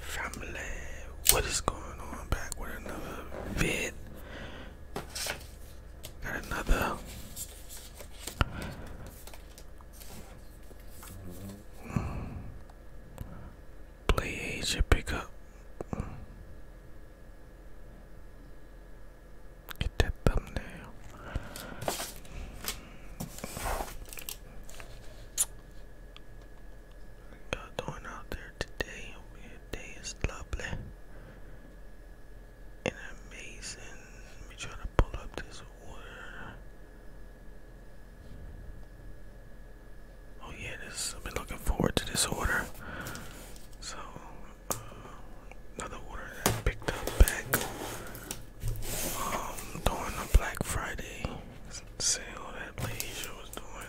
Family, what is going on? Back with another vid. Got another. Play Asia pickup. Get that thumbnail. Got going out there today. Your is lovely and amazing. Let me try to pull up this water. Oh yeah, this I've been looking forward to this order. So uh, another order that picked up back um, during the Black Friday sale that Leisha was doing.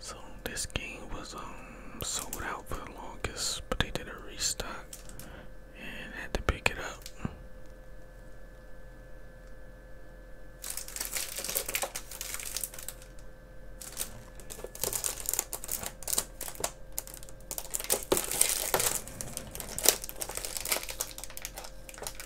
So this game was um sold out for the longest, but they did a restock and had to pick it up.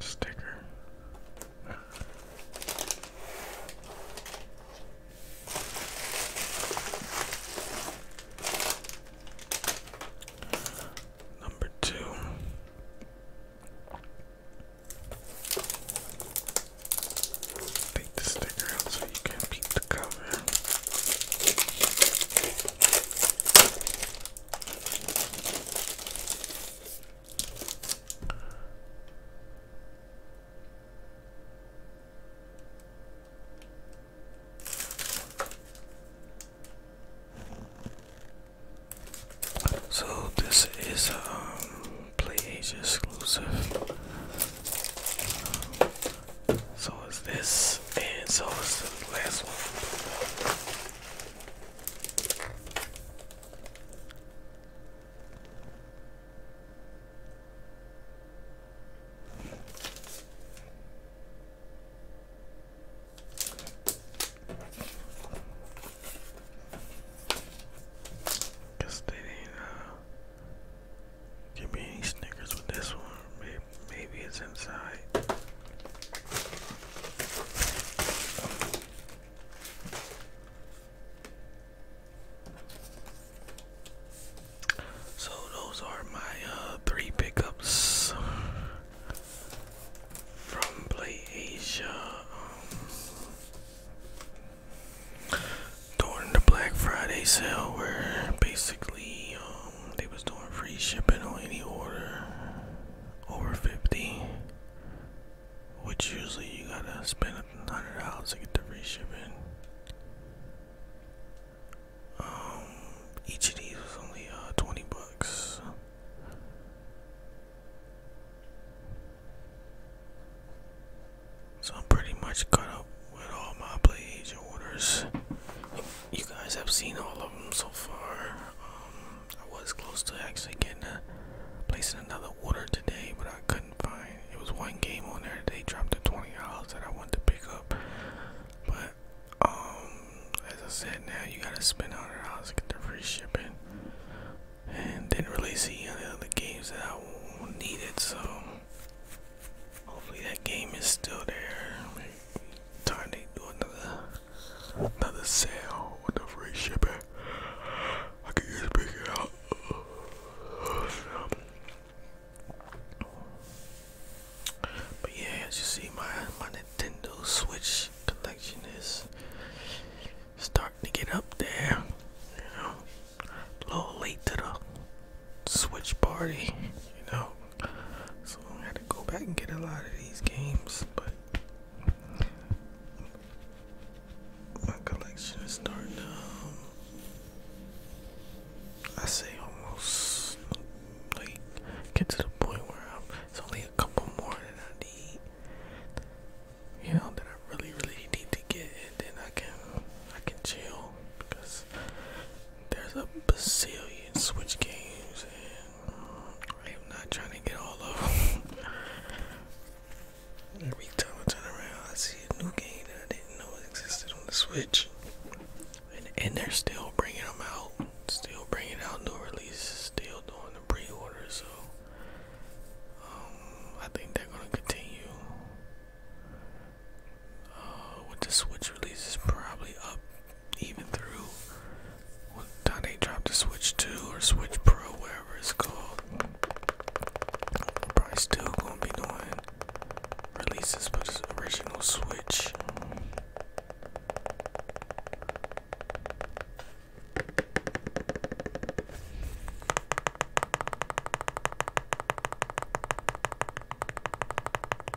Sticker. Number two. Take the sticker out so you can peek the color. So this is a um, PlayAsia exclusive. So is this, and so is the last one. Guess they uh, give me any Snickers with this one. Maybe, it's inside. So those are my uh, three pickups from Play um, during the Black Friday sale, where basically. Um, they was doing free shipping on any order over 50 which usually you gotta spend a hundred dollars to get the free shipping um, each of these was only uh, 20 bucks so I'm pretty much caught up with all my PlayAsia orders you guys have seen all of them so far. Um, I was close to actually getting a, placing another order today, but I couldn't find. It was one game on there they dropped the twenty dollars that I wanted to pick up, but um, as I said, now you gotta spend hundred dollars to get the free shipping, and didn't really see any other games that I needed, so. Hopefully that game is still there. Maybe time they do another another sale with the ship shipping. I can just pick it out. But yeah, as you see, my my Nintendo Switch collection is starting to get up there. You know, a little late to the Switch party. You know, so I had to go back and get a lot of these games, but my collection is starting um, I say almost like get to the point where I'm, it's only a couple more that I need, you know, that I really, really need to get, and then I can, I can chill because there's a bazillion Switch games, and I'm not trying to get all of them. Every time I turn around, I see a new game that I didn't know existed on the Switch, and, they're still bringing them out, still bringing out new releases, still doing the pre orders So, um, I think they're gonna continue. Uh, with the Switch release is probably up even through when they dropped the Switch 2 or Switch Pro, whatever it's called. We're probably still gonna be doing releases but the original Switch.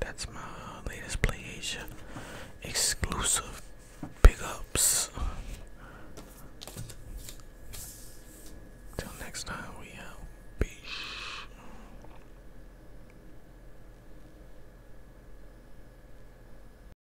That's my latest PlayAsia exclusive pickups. Till next time, we out. Peace.